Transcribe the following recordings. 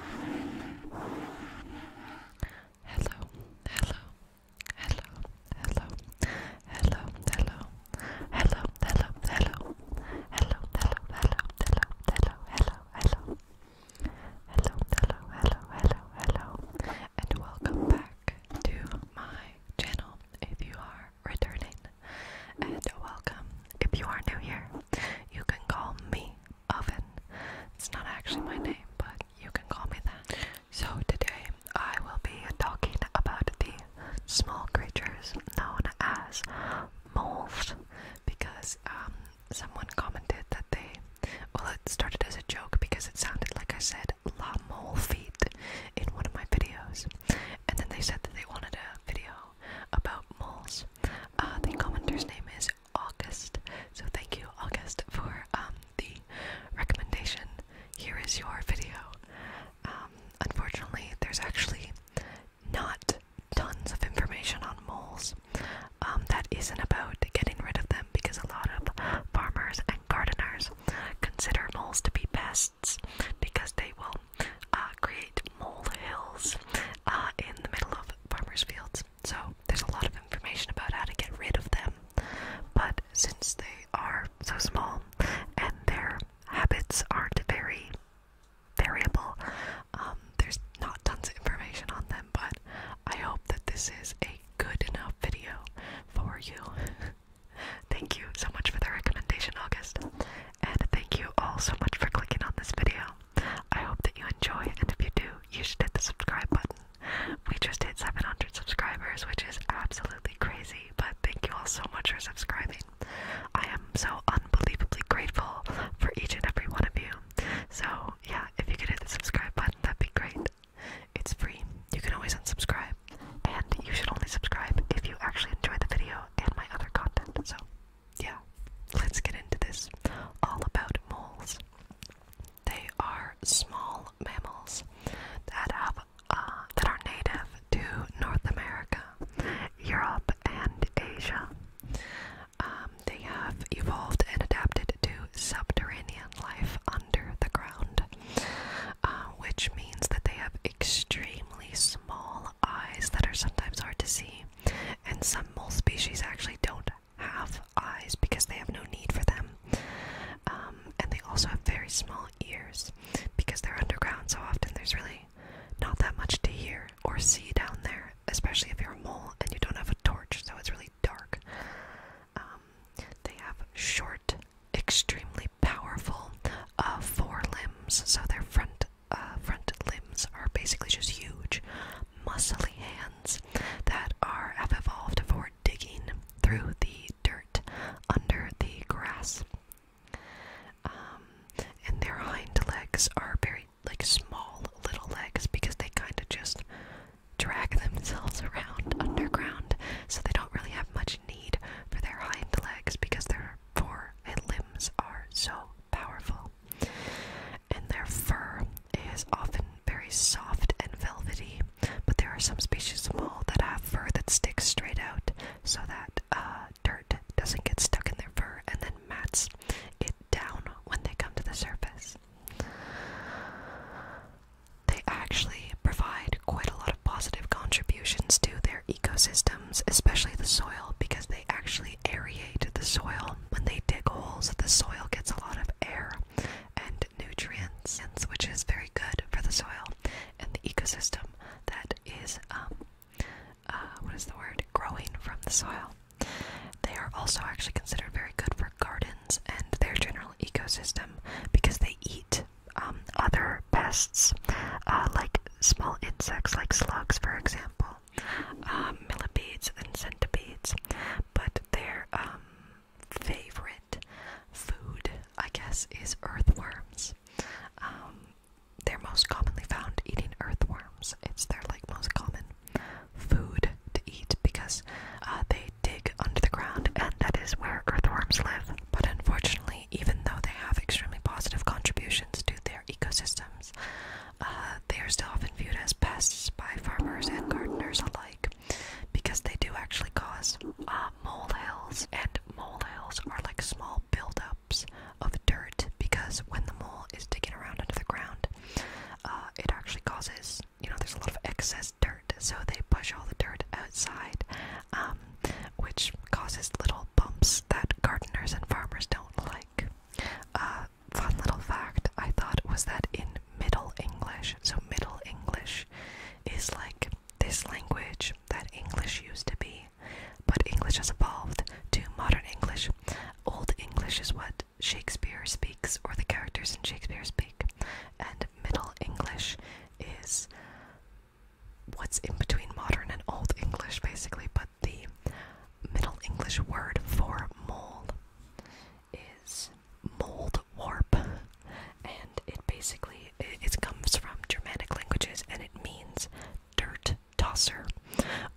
Hello, hello, hello, hello, hello, hello, hello, hello, hello, hello, hello, hello, hello, hello, hello, hello. Hello, hello, hello, hello, hello, and welcome back to my channel if you are returning. And welcome if you are new here. You can call me Oven. It's not actually my name, but you can call me that. So today I will be talking about the small creatures known as moles because um, someone commented that they, well, it started as a joke because it sounded like I said la mole feet in one of my videos, and then they said that they wanted a video about moles, uh, the commenter's name is August, so thank you, August, for um, the recommendation. Here is your video. Um, unfortunately, there's actually not tons of information on moles um, that isn't about getting rid of them because a lot of farmers and gardeners consider moles to be pests because they will uh, create mole hills uh, in the middle of farmers' fields. So there's a lot of information about how to get rid of them. But since they are so small and their habits aren't very variable, um, there's not tons of information on them. But I hope that this is a good enough video for you. thank you so much for the recommendation, August. And thank you all so much for clicking on this video. I hope that you enjoy, and if you do, you should hit the subscribe button. We just hit 700 subscribers, which is absolutely crazy, but thank you all so much for subscribing. I am so unbelievably grateful for each and every one of you. So, yeah, if you could hit the subscribe button, that'd be great. It's free, you can always unsubscribe, and you should only subscribe if you actually enjoy the video and my other content. So, yeah, let's get into this. All about moles. They are small mammals that have uh, that are native to North America, Europe, and Asia. Um, they have evolved and adapted to subterranean life under the ground, uh, which means that they have extremely small eyes that are sometimes hard to see, and some mole species actually don't have eyes because they have no need for them. Um, and they also have very small ears because they're underground, so often there's really not that much to hear or see down there, especially if you're a mole and you don't have a torch, so it's really dark. Um, they have short, extremely powerful uh, forelimbs, so their front uh, front limbs are basically just huge, muscly hands that are have evolved for digging through the dirt under the grass. Um, and their hind legs are very like small little legs because they kind of just drag themselves around underground, so they don't really have much need for their hind legs because they're power, for its limbs are so powerful, and their fur is often very soft and velvety. But there are some species of mole that have fur that sticks straight out, so that uh, dirt doesn't get stuck in their fur and then mats it down when they come to the surface. They actually provide quite a lot of positive contributions to their ecosystem especially the soil, because they actually aerate the soil. When they dig holes, the soil gets a lot of air and nutrients, which is very good for the soil and the ecosystem that is, um, uh, what is the word, growing from the soil. They are also actually considered very good for gardens and their general ecosystem because they eat um, other pests, uh, like small insects, like slugs, for example, um, millipedes and centipedes. But their um, favorite food, I guess, is earthworms. they're most commonly found eating earthworms. It's their like most common food to eat because uh, they dig under the ground, and that is where earthworms live. But unfortunately family, even though they have extremely positive contributions to their ecosystems. Uh, they are still often viewed as pests by farmers and gardeners alike because they do actually cause uh, molehills, and molehills are like small buildups of dirt because when the mole is digging around under the ground, uh, it actually causes, you know, there's a lot of excess dirt, so they push all the dirt outside um, which causes little bumps that gardeners and farmers don't like. Uh, fun little fact I thought was that in Middle English, so Middle English is like this language that English used to be, but English has evolved to modern English. Old English is what Shakespeare speaks, or the characters in Shakespeare speak, and Middle English is what's in between modern and old English, basically, but the Middle English word for mole is mold warp, and it basically it comes from Germanic languages, and it means dirt tosser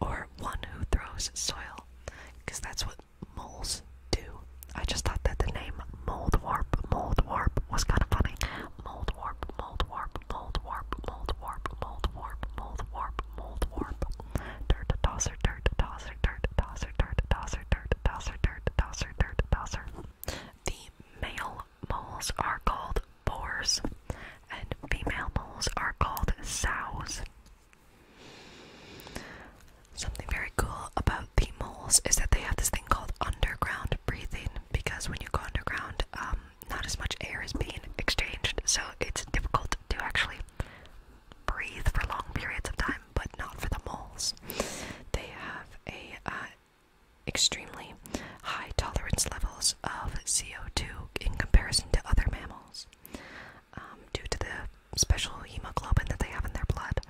or one who throws soil, because that's what moles do. I just thought that the name mold warp, mold warp was kind of funny. Mold warp, mold warp, mold warp, mold warp, mold warp, mold warp, mold warp. Dirt tosser, dirt tosser, dirt tosser, dirt tosser, dirt tosser, dirt tosser, dirt tosser. The male moles are called boars, and female moles are called sows. Something very cool about the moles is that they have this thing called underground breathing because when you go underground, um, not as much air is being exchanged, so it's difficult to actually breathe for long periods of time, but not for the moles. They have a uh, extremely high tolerance levels of CO2 in comparison to other mammals um, due to the special hemoglobin that they have in their blood.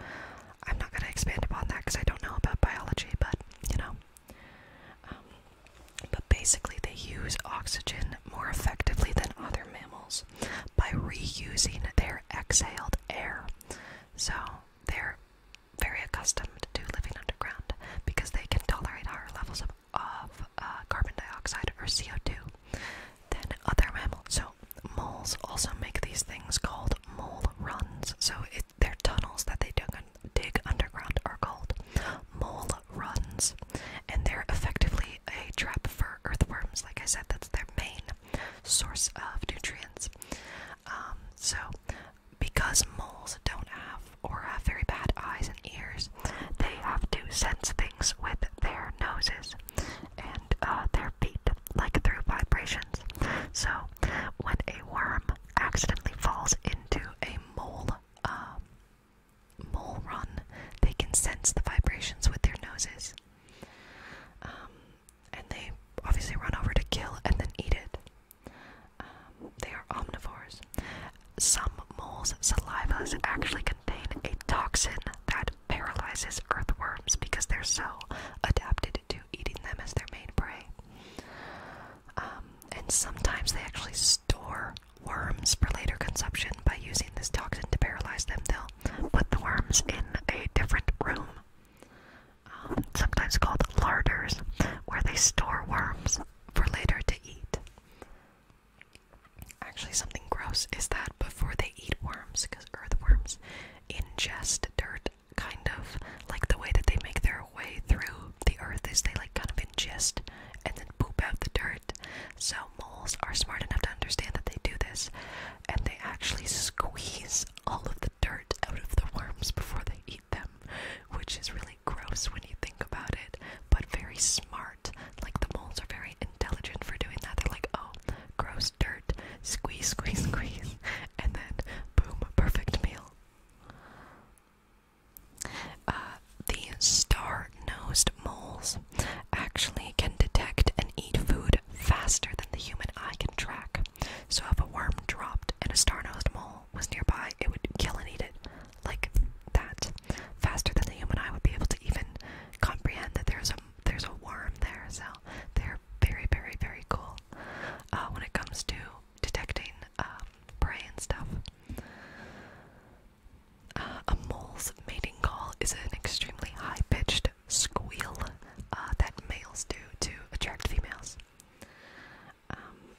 I'm not going to expand upon that because I don't know about biology, but you know. Um, but basically, they use oxygen more effectively than other mammals by reusing their exhaled air. So they're very accustomed to living underground because they can tolerate higher levels of, of uh, carbon dioxide or CO2 than other mammals. So moles also make these things called mole runs. So their tunnels that they dig, underground are called mole runs, and they're effectively a trap for earthworms. Like I said, that's their main source of nutrients. Um, so because moles don't have or have very bad eyes and ears, they have to sense things with their noses and uh, their feet like through vibrations. So, when a worm accidentally falls into a mole, um, mole run, they can sense the vibrations with their noses. Um, and they obviously run over to kill and then eat it. Um, they are omnivores. Some moles' saliva actually contain a toxin that paralyzes earthworms because they're so adapted to eating them as their main prey. Um, and sometimes they actually store worms for later consumption by using this toxin to paralyze them. They'll put the worms in a different room, um, sometimes called larders, where they store worms for later to eat. Actually, something gross is that before they eat worms, because earthworms sometimes ingest dirt kind of like the way that they make their way through the earth is they like kind of ingest and then poop out the dirt. So moles are smart enough to understand that they do this and they actually squeeze all of the dirt out of the worms before they eat them, which is really gross when you think about it, but very smart. Like the moles are very intelligent for doing that. They're like, oh, gross dirt, squeeze, squeeze, squeeze, and then boom, perfect meal. Uh, the star-nosed moles actually can detect and eat food faster than the human eye can track. So if a worm dropped and a star-nosed mole was nearby, it would kill and eat it like that, faster than the human eye would be able to even comprehend that there's a there's a worm there, so they're very, very, very cool uh, when it comes to detecting um, prey and stuff. Uh, a mole's mating call is an extremely high-pitched squeal uh, that males do to attract females. Um,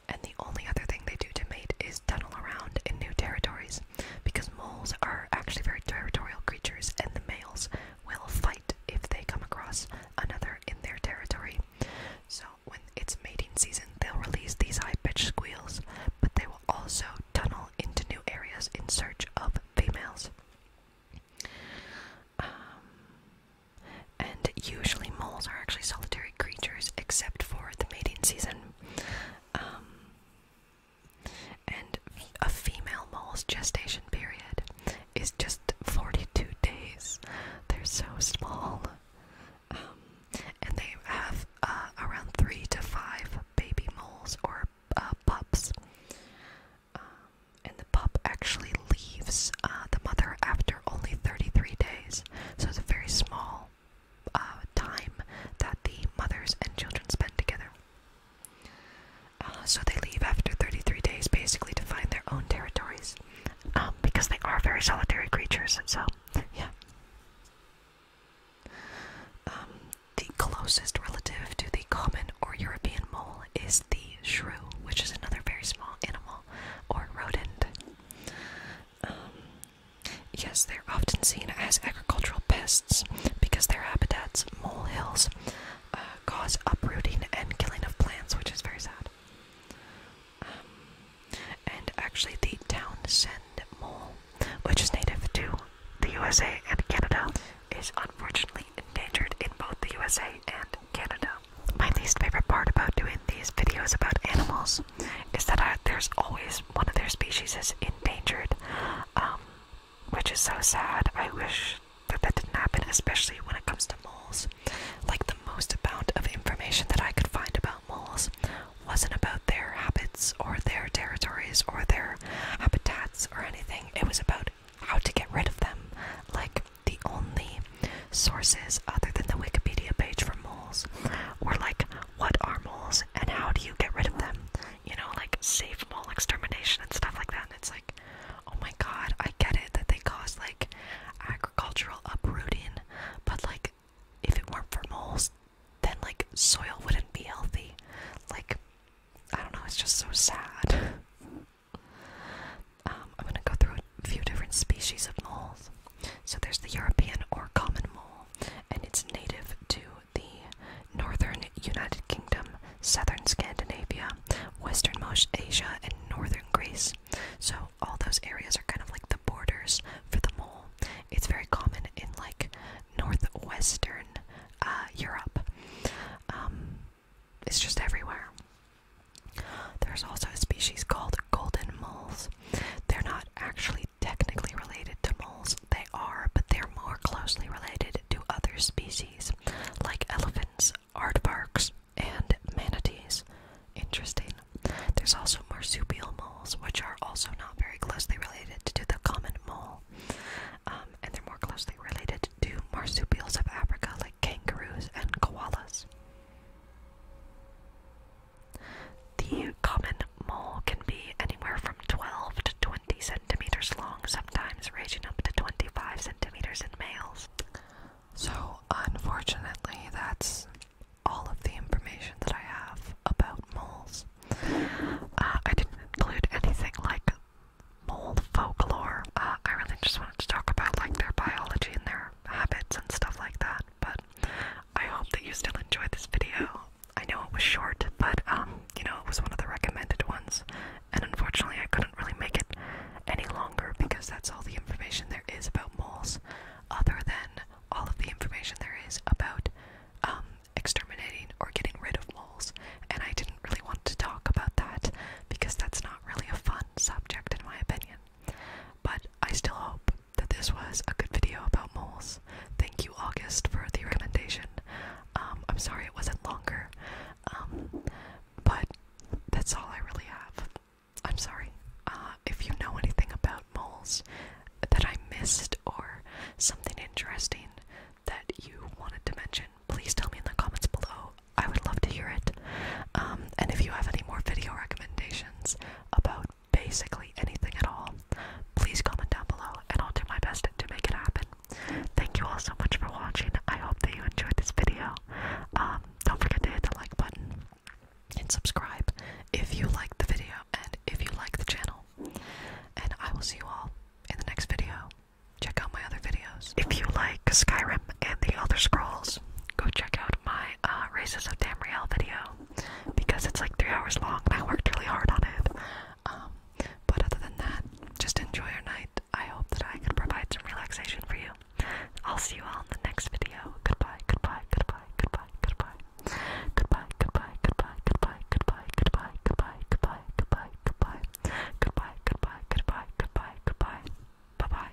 and the only other thing they do to mate is tunnel around in new territories because moles are actually very territorial creatures and the males will fight if they come across another in their territory. So when it's mating season, they'll release these high-pitched squeals, but they will also tunnel into new areas in search of females. Um, and usually moles are actually solitary creatures except for the mating season. Um, and a female mole's gestation period is just 42 days. They're so small. Um, and they have uh, around 3 to 5 baby moles or uh, pups. Um, and the pup actually leaves uh, the mother after only 33 days. So it's very small uh, time that the mothers and children spend together. Uh, so they leave after 33 days basically to find their own territories um, because they are very solitary creatures, so yeah. Um, the closest relative to the common or European mole is the shrew, which is another very small animal or rodent. Um, Yes, they're often seen as agricultural pests because their habitats, molehills, uh, cause uprooting and killing of plants, which is very sad. Um, and actually, the Townsend mole, which is native to the USA and Canada, is unfortunately endangered in both the USA and Canada. My least favorite part about doing these videos about animals is that there's always one of their species is endangered, um, which is so sad. I wish that that didn't happen, especially when it comes to moles. Like the most amount of information that I could find about moles wasn't about their habits or their territories or their habitats or anything. It was about how to get rid of them. Like the only sources other than the Wikipedia page for moles were like what are moles and how do you get rid of them? You know, like safe mole extermination and stuff like that. And it's like, oh my god, I get it that they cause like agricultural uprooting, but like if it weren't for moles, then like soil wouldn't be healthy. Like, I don't know, it's just so sad. Um, I'm gonna go through a few different species of moles. So there's the European or common mole and it's native to the northern United Kingdom, southern Scandinavia, westernmost Asia, and northern Greece. So all those areas are kind of like the borders for the mole. It's very common in like northwestern uh, Europe. Um, it's just everywhere. There's also a species called golden moles. They're not actually technically related to moles. They are, but they're more closely related to other species, like elephants, aardvarks, and manatees. Interesting. There's also marsupial moles, which are also not very closely related to the common mole. Um, and they're more closely related to marsupials of Africa, like kangaroos and koalas. The common mole can be anywhere from 12 to 20 centimeters long, sometimes reaching up to 25 centimeters in males. So, unfortunately, that's all of the information that I have about moles. Uh, I didn't include anything like mole folklore. Uh, I really just wanted to talk about like their biology and their habits and stuff like that. But I hope that you still enjoyed this video. I know it was short, but um, you know, it was one of the recommended ones, and unfortunately, I couldn't really make it any longer because that's all the information there is about moles, other than all of the information there is about um, exterminating or getting rid of moles. And I didn't really want to talk about that because that's not really a fun subject, in my opinion. But I still hope that this was a good video about moles. Thank you, August, for the recommendation. Um, I'm sorry it wasn't longer, um, but that's all I really have. I'm sorry. Uh, if you know anything about moles that I missed or something interesting that you wanted to mention, please tell me in the comments below. I would love to hear it. Um, and if you have any more video recommendations, about basically anything at all, please comment down below and I'll do my best to make it happen. Thank you all so much for watching. I hope that you enjoyed this video. Um, don't forget to hit the like button and subscribe if you like the video and if you like the channel. And I will see you all in the next video. Check out my other videos. If you like Skyrim and the Elder Scrolls, go check out my uh, Races of Tamriel video because it's like three hours long and I worked really hard on it. but other than that, just enjoy your night. I hope that I could provide some relaxation for you. I'll see you all in the next video. Goodbye, goodbye, goodbye, goodbye, goodbye. Goodbye, goodbye, goodbye, goodbye, goodbye, goodbye, goodbye, goodbye, goodbye, goodbye. Goodbye, goodbye, goodbye, goodbye, goodbye. Bye bye.